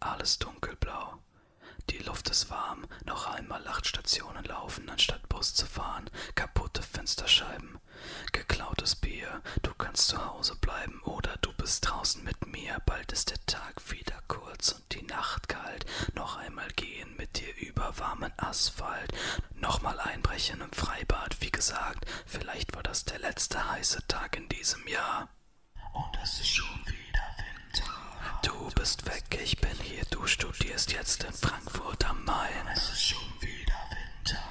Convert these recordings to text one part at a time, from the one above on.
Alles dunkelblau. Die Luft ist warm, noch einmal acht Stationen laufen, anstatt Bus zu fahren, kaputte Fensterscheiben. Geklautes Bier, du kannst zu Hause bleiben oder du bist draußen mit mir, bald ist der Tag wieder kurz und die Nacht kalt, noch einmal gehen mit dir über warmen Asphalt, nochmal einbrechen im Freibad, wie gesagt, vielleicht war das der letzte heiße Tag in diesem Jahr. Und es ist schon wieder Winter. Du bist weg, ich bin hier, du studierst jetzt in Frankfurt am Main. Es ist schon wieder Winter.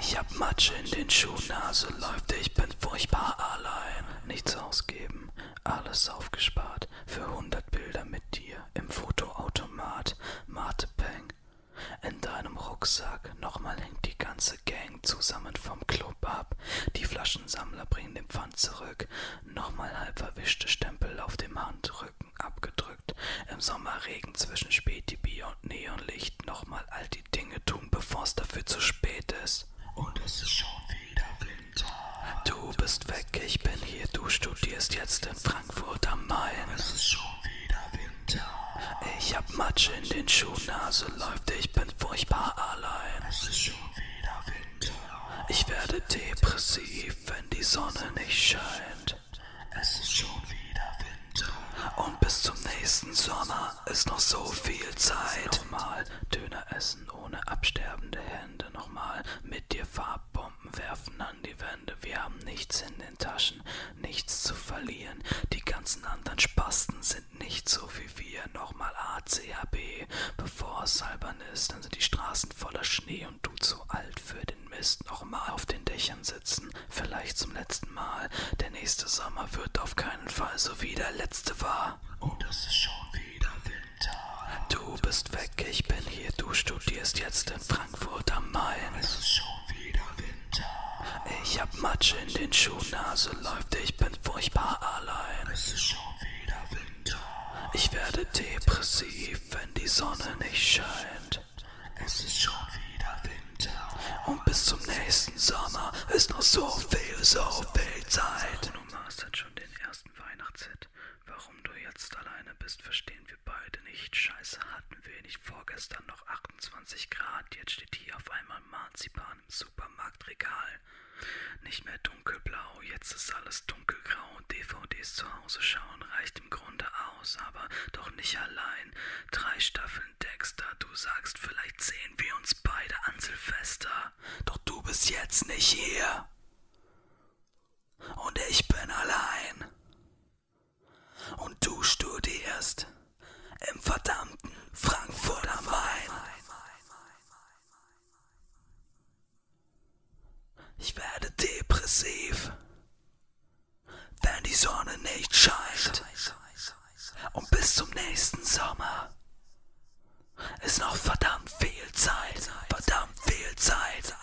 Ich hab Matsch in den Schuhen, Nase also läuft, ich bin furchtbar allein. Nichts ausgeben, alles aufgespart. Geld für hundert Bilder mit dir im Fotoautomat, Martepeng. In deinem Rucksack nochmal hängt die ganze Gang zusammen vom Club ab. Die Flaschensammler bringen den Pfand zurück. Nochmal halb verwischte Stempel auf dem Handrücken abgedrückt. Im Sommerregen zwischen Spätibier und Neonlicht nochmal all die Dinge tun, bevor's dafür zu spät ist. März. Und es ist schon wieder Winter. Du bist weg, ich bin hier. Du studierst jetzt in Frankfurt am Main. Es ist schon wieder Winter. Ich hab Matsch in den Schuhen, Nase also läuft, ich bin furchtbar allein. Es ist schon wieder Winter. Ich werde depressiv, wenn die Sonne nicht scheint. Es ist schon wieder Winter. Und bis zum nächsten Sommer ist noch so viel Zeit. Nochmal Döner essen ohne absterbende Hände. Nochmal mit dir Farbbomben werfen an die Wände. Wir haben nichts in den Taschen, nichts zu verlieren. Die ganzen anderen Spasten sind nicht so wie wir. Nochmal ACHB, bevor es albern ist. Dann sind die Straßen voller Schnee und du zu alt für den Mist. Nochmal auf den Dächern sitzen vielleicht zum letzten Mal. Der nächste Sommer wird auf keinen Fall so wie der letzte war. Und oh, es ist schon wieder Winter. Du bist weg, ich bin hier. Du studierst jetzt in Frankfurt am Main. Es ist schon wieder Winter. Ich hab Matsch in den Schuhen, Nase also läuft, ich bin furchtbar allein. Es ist schon wieder Winter. Ich werde depressiv, wenn die Sonne nicht scheint. Es ist schon wieder Winter und bis zum nächsten Sommer ist noch so viel, so viel Zeit. Du machst halt schon den ersten Weihnachtshit. Warum du jetzt alleine bist, verstehen wir beide nicht. Scheiße, hatten wir nicht vorgestern noch 28 Grad. Jetzt steht hier auf einmal Marzipan im Supermarktregal. Nicht mehr dunkelblau, jetzt ist alles dunkelgrau. DVDs zu Hause schauen reicht im Grunde ab raus, aber doch nicht allein. Drei Staffeln Dexter, du sagst, vielleicht sehen wir uns beide an Silvester. Doch du bist jetzt nicht hier. Und ich bin allein. Und du studierst im verdammten Frankfurt am Main. Ich werde depressiv, wenn die Sonne nicht scheint. Und bis zum nächsten Sommer ist noch verdammt viel Zeit, verdammt viel Zeit.